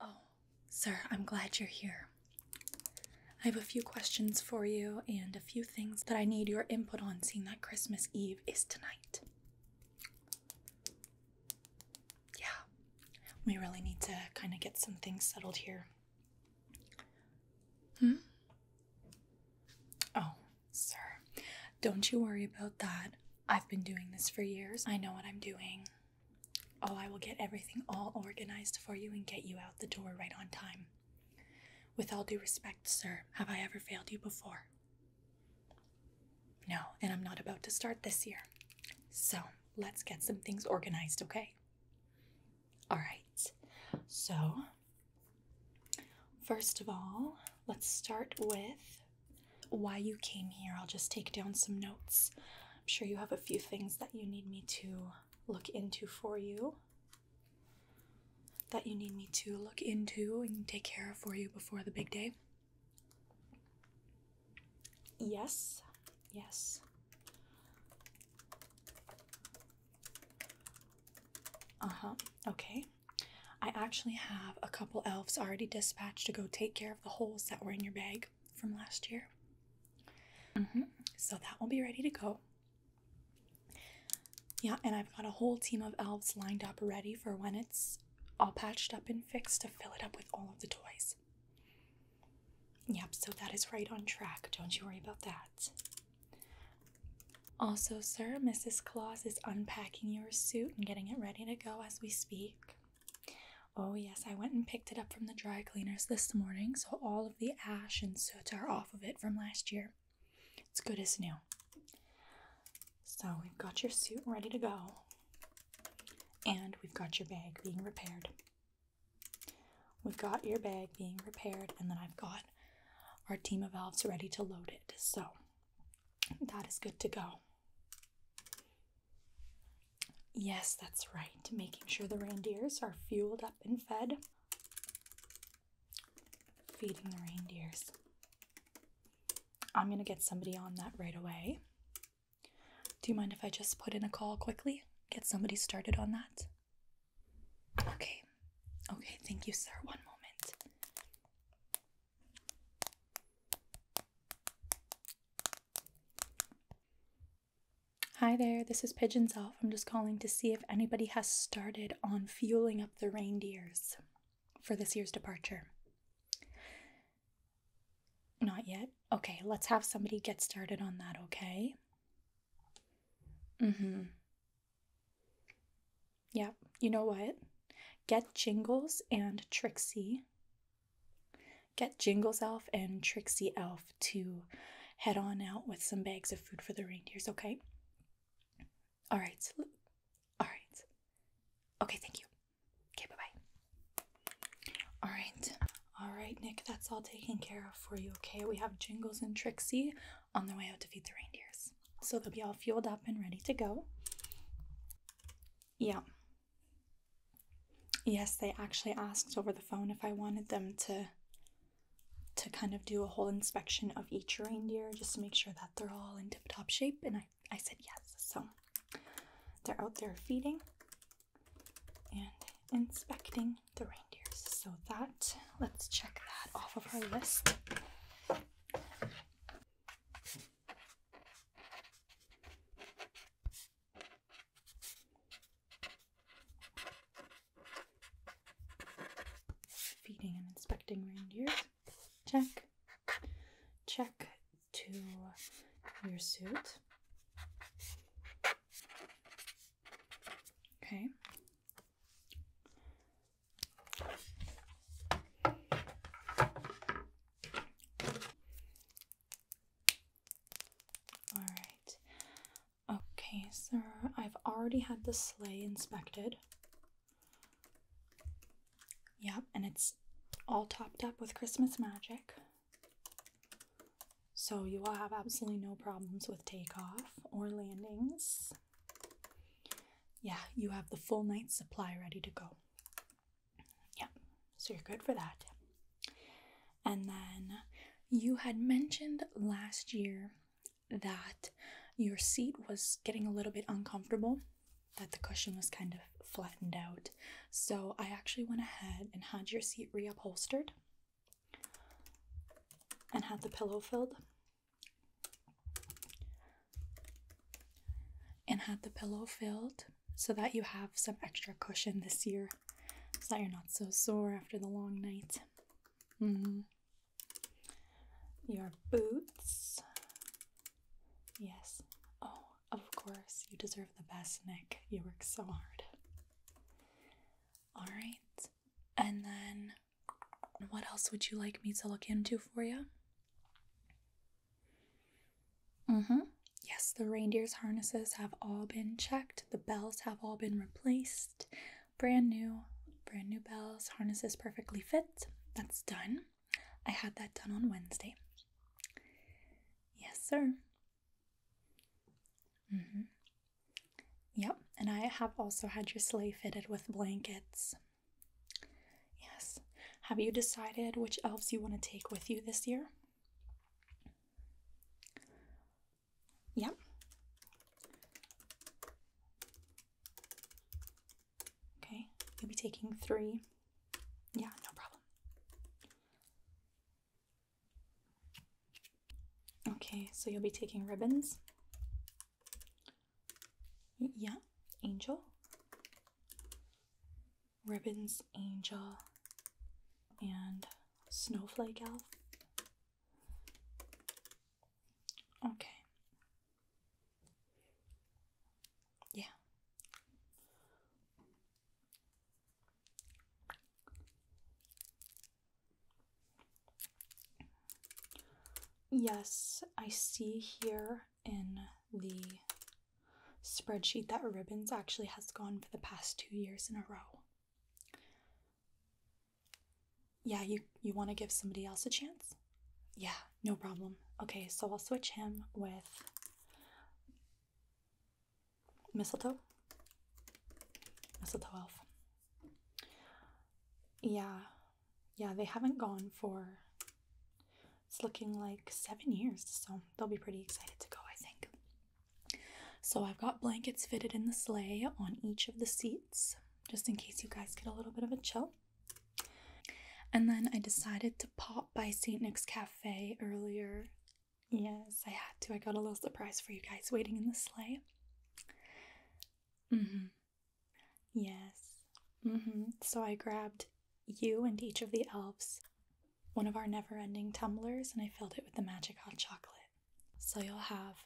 Oh, sir, I'm glad you're here. I have a few questions for you and a few things that I need your input on, seeing that Christmas Eve is tonight. Yeah, we really need to kind of get some things settled here. Hmm? Oh, sir, don't you worry about that. I've been doing this for years, I know what I'm doing. Oh, I will get everything all organized for you and get you out the door right on time. With all due respect, sir, have I ever failed you before? No, and I'm not about to start this year. So let's get some things organized, okay? All right. So, first of all, let's start with why you came here. I'll just take down some notes. I'm sure you have a few things that you need me to look into for you. That you need me to look into and take care of for you before the big day. Yes, yes. Uh huh, okay. I actually have a couple elves already dispatched to go take care of the holes that were in your bag from last year. So that will be ready to go. Yeah, and I've got a whole team of elves lined up ready for when it's all patched up and fixed to fill it up with all of the toys. Yep, so that is right on track. Don't you worry about that. Also, sir, Mrs. Claus is unpacking your suit and getting it ready to go as we speak. Oh, yes, I went and picked it up from the dry cleaners this morning, so all of the ash and soot are off of it from last year. It's good as new. So, we've got your suit ready to go, and we've got your bag being repaired. We've got your bag being repaired, and then I've got our team of elves ready to load it. So, that is good to go. Yes, that's right. Making sure the reindeers are fueled up and fed. Feeding the reindeers. I'm going to get somebody on that right away. Do you mind if I just put in a call quickly? Get somebody started on that? Okay. Okay, thank you, sir. One moment. Hi there, this is Pigeons Off. I'm just calling to see if anybody has started on fueling up the reindeers for this year's departure. Not yet? Okay, let's have somebody get started on that, okay? Mm hmm. Yep, yeah, you know what? Get Jingles and Trixie Get Jingles Elf and Trixie Elf to head on out with some bags of food for the reindeers, okay? All right. all right. Okay, thank you. Okay, bye bye. All right. All right, Nick, that's all taken care of for you, okay? We have Jingles and Trixie on their way out to feed the reindeers. So they'll be all fueled up and ready to go. Yeah. Yes, they actually asked over the phone if I wanted them to to kind of do a whole inspection of each reindeer just to make sure that they're all in tip-top shape and I, I said yes. So they're out there feeding and inspecting the reindeers. So that, let's check that off of our list. Feeding and inspecting reindeer. Check. Check to your suit. Okay. All right. Okay, sir. I've already had the sleigh inspected. Yep, and it's all topped up with Christmas magic. So you will have absolutely no problems with takeoff or landings. Yeah, you have the full night supply ready to go. Yeah, so you're good for that. And then you had mentioned last year that your seat was getting a little bit uncomfortable, that the cushion was kind of flattened out. So I actually went ahead and had your seat reupholstered and had the pillow filled. And had the pillow filled so that you have some extra cushion this year so that you're not so sore after the long night. Mm-hmm. Your boots. Yes. Oh, of course. You deserve the best, Nick. You work so hard. All right. And then what else would you like me to look into for you? Mm-hmm. Yes, the reindeer's harnesses have all been checked. The bells have all been replaced. Brand new, brand new bells, harnesses perfectly fit. That's done. I had that done on Wednesday. Yes, sir. Mm-hmm. Yep, and I have also had your sleigh fitted with blankets. Yes. Have you decided which elves you want to take with you this year? Yeah. Okay, you'll be taking three. Yeah, no problem. Okay, so you'll be taking ribbons. Yeah, angel. Ribbons Angel, and Snowflake Elf. Okay. Yeah. Yes, I see here in the spreadsheet that Ribbons actually has gone for the past two years in a row. Yeah, you, you want to give somebody else a chance? Yeah, no problem. Okay, so I'll switch him with mistletoe. Mistletoe elf. Yeah, yeah, they haven't gone for it's looking like seven years, so they'll be pretty excited to go, I think. So I've got blankets fitted in the sleigh on each of the seats, just in case you guys get a little bit of a chill. And then I decided to pop by St. Nick's Cafe earlier. Yes, I had to. I got a little surprise for you guys waiting in the sleigh. Mm-hmm. Yes. Mm-hmm. So I grabbed you and each of the elves one of our never ending tumblers and I filled it with the magic hot chocolate. So you'll have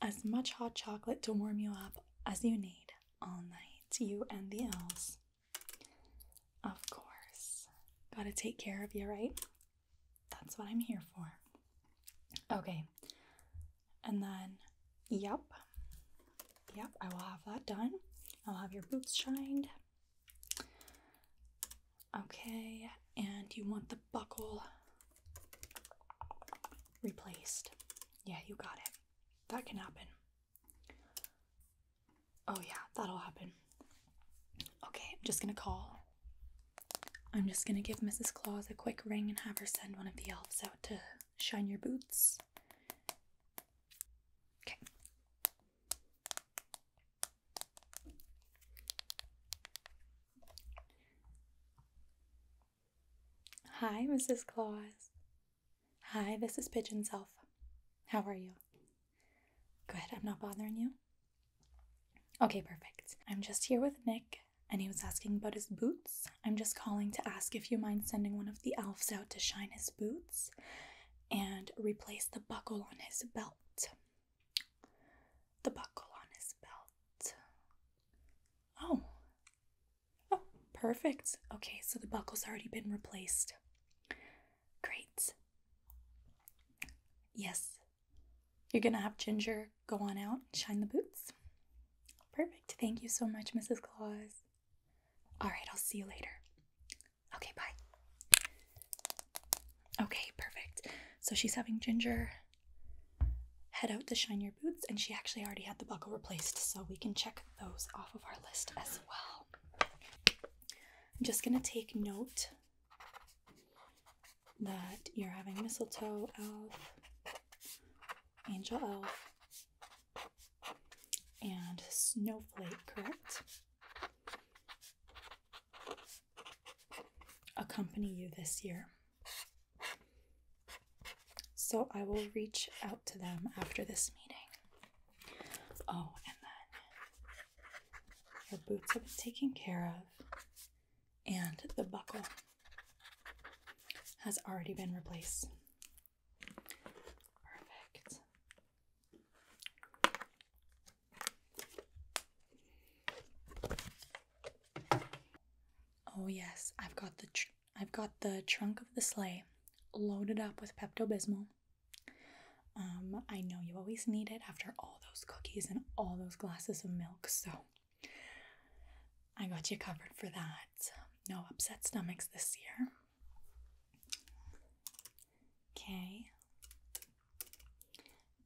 as much hot chocolate to warm you up as you need all night, you and the elves. Of course. Gotta take care of you, right? That's what I'm here for. Okay. And then, yep. Yep, I will have that done. I'll have your boots shined. Okay, and you want the buckle replaced. Yeah, you got it. That can happen. Oh, yeah, that'll happen. Okay, I'm just gonna call. I'm just gonna give Mrs. Claus a quick ring and have her send one of the elves out to shine your boots. Okay, Hi, Mrs. Claus. Hi, this is Pigeon Self. How are you? Good, I'm not bothering you. Okay, perfect. I'm just here with Nick, and he was asking about his boots. I'm just calling to ask if you mind sending one of the elves out to shine his boots and replace the buckle on his belt. The buckle on his belt. Oh. Oh, perfect. Okay, so the buckle's already been replaced. Great. Yes. You're going to have Ginger go on out and shine the boots. Perfect. Thank you so much, Mrs. Claus. All right, I'll see you later. Okay, bye. Okay, perfect. So she's having Ginger head out to shine your boots, and she actually already had the buckle replaced, so we can check those off of our list as well. I'm just gonna take note that you're having mistletoe, elf, angel elf, and snowflake, correct? accompany you this year. So I will reach out to them after this meeting. Oh, and then your boots have been taken care of, and the buckle has already been replaced. Perfect. Oh yes, I've got the I've got the trunk of the sleigh loaded up with Pepto Bismol. Um, I know you always need it after all those cookies and all those glasses of milk, so I got you covered for that. No upset stomachs this year. Okay.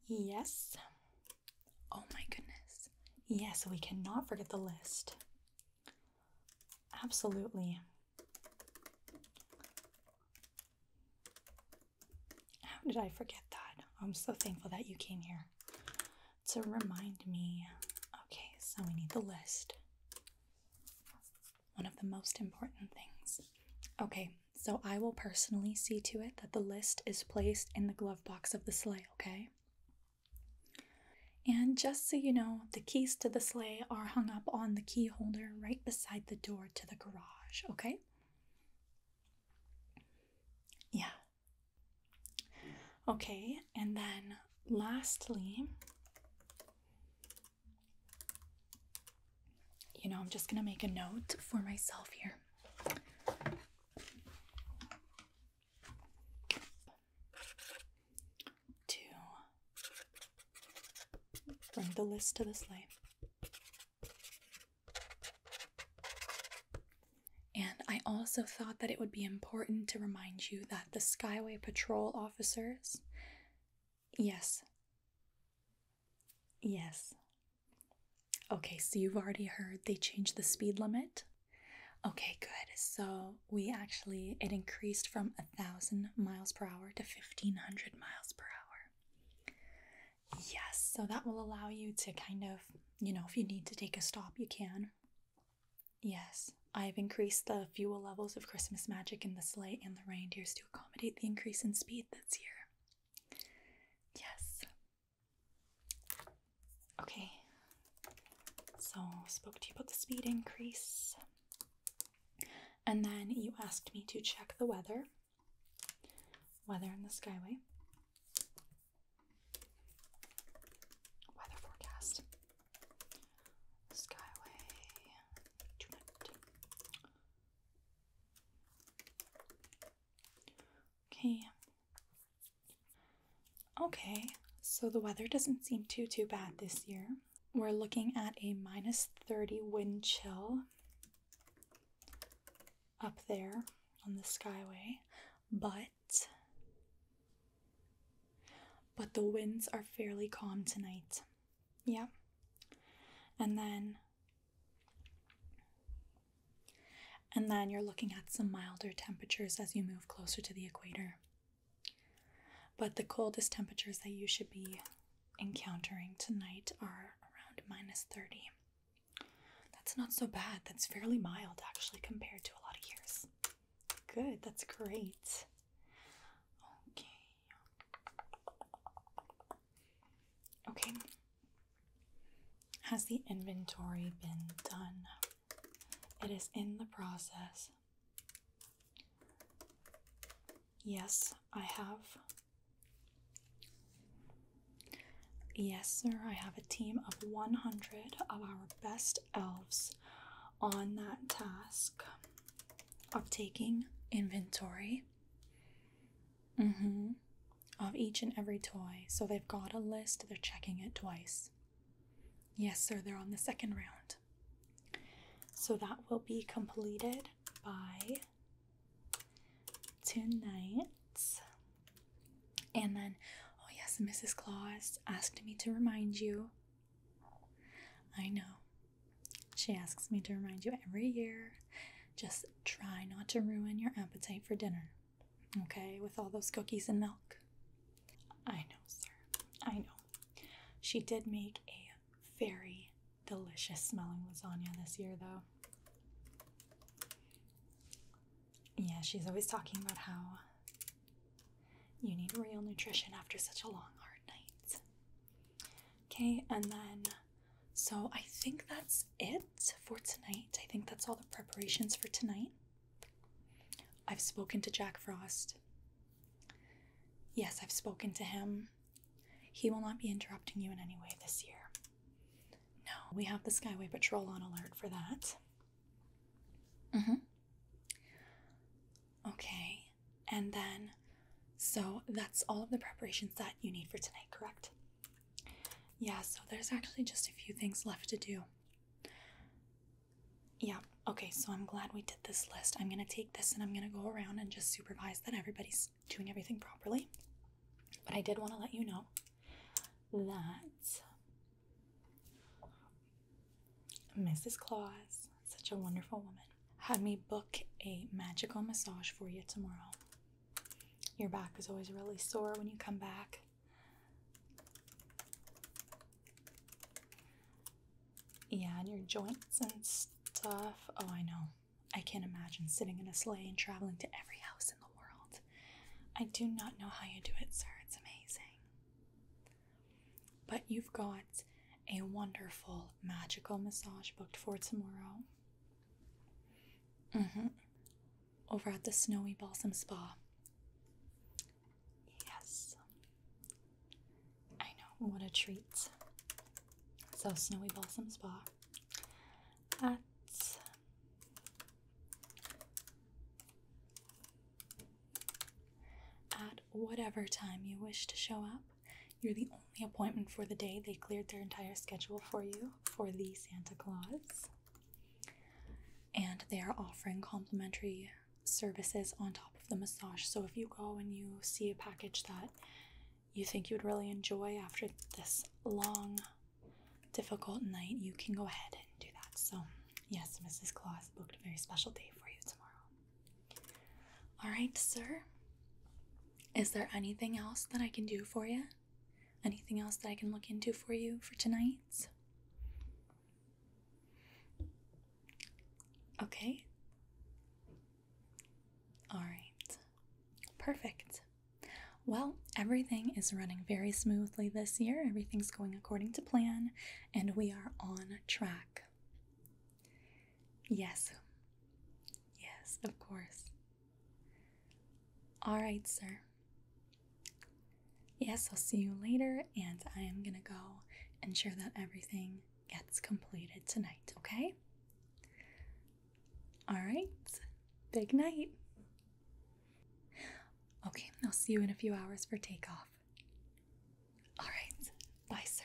Yes. Oh my goodness. Yes, we cannot forget the list. Absolutely. How did I forget that? I'm so thankful that you came here to remind me. Okay, so we need the list. One of the most important things. Okay, so I will personally see to it that the list is placed in the glove box of the sleigh, okay? And just so you know, the keys to the sleigh are hung up on the key holder right beside the door to the garage, okay? Yeah. Okay, and then lastly, you know, I'm just gonna make a note for myself here. To bring the list to the slide. And I also thought that it would be important to remind you that the Skyway Patrol officers Yes. Yes. Okay, so you've already heard they changed the speed limit. Okay, good. So we actually, it increased from a 1,000 miles per hour to 1,500 miles per hour. Yes, so that will allow you to kind of, you know, if you need to take a stop, you can. Yes, I've increased the fuel levels of Christmas Magic in the sleigh and the reindeers to accommodate the increase in speed this year. Yes. Okay. So spoke to you about the speed increase. And then you asked me to check the weather. Weather in the skyway. Weather forecast. Skyway. Okay. Okay, so the weather doesn't seem too too bad this year. We're looking at a minus 30 wind chill up there on the skyway, but but the winds are fairly calm tonight. Yeah. And then and then you're looking at some milder temperatures as you move closer to the equator. But the coldest temperatures that you should be encountering tonight are around minus 30. That's not so bad. That's fairly mild actually compared to a lot of years. Good, that's great. Okay. Okay. Has the inventory been done? It is in the process. Yes, I have. Yes, sir, I have a team of 100 of our best elves on that task of taking inventory Mm-hmm. Of each and every toy. So they've got a list, they're checking it twice. Yes, sir, they're on the second round. So that will be completed by tonight. And then, oh yes, Mrs. Claus asked me to remind you. I know, she asks me to remind you every year just try not to ruin your appetite for dinner, okay, with all those cookies and milk. I know, sir. I know. She did make a very delicious smelling lasagna this year, though. Yeah, she's always talking about how you need real nutrition after such a long, hard night. Okay, and then so I think that's it for tonight. I think that's all the preparations for tonight. I've spoken to Jack Frost. Yes, I've spoken to him. He will not be interrupting you in any way this year. No, we have the Skyway Patrol on alert for that. Mm hmm. Okay, and then so that's all of the preparations that you need for tonight, correct? Yeah, so there's actually just a few things left to do. Yeah, okay, so I'm glad we did this list. I'm gonna take this and I'm gonna go around and just supervise that everybody's doing everything properly. But I did wanna let you know that Mrs. Claus, such a wonderful woman, had me book a magical massage for you tomorrow. Your back is always really sore when you come back. Yeah, and your joints and stuff. Oh, I know. I can't imagine sitting in a sleigh and traveling to every house in the world. I do not know how you do it, sir. It's amazing. But you've got a wonderful magical massage booked for tomorrow. Mm-hmm. Over at the Snowy Balsam Spa. Yes. I know, what a treat. So, Snowy Balsam Spa at at whatever time you wish to show up. You're the only appointment for the day. They cleared their entire schedule for you for the Santa Claus. And they are offering complimentary services on top of the massage. So if you go and you see a package that you think you'd really enjoy after this long, difficult night, you can go ahead and do that. So, yes, Mrs. Claus booked a very special day for you tomorrow. All right, sir. Is there anything else that I can do for you? Anything else that I can look into for you for tonight? Okay. All right. Perfect. Well, everything is running very smoothly this year. Everything's going according to plan, and we are on track. Yes. Yes, of course. All right, sir. Yes, I'll see you later, and I am gonna go and ensure that everything gets completed tonight, okay? All right, big night. Okay, I'll see you in a few hours for takeoff. All right, bye, sir.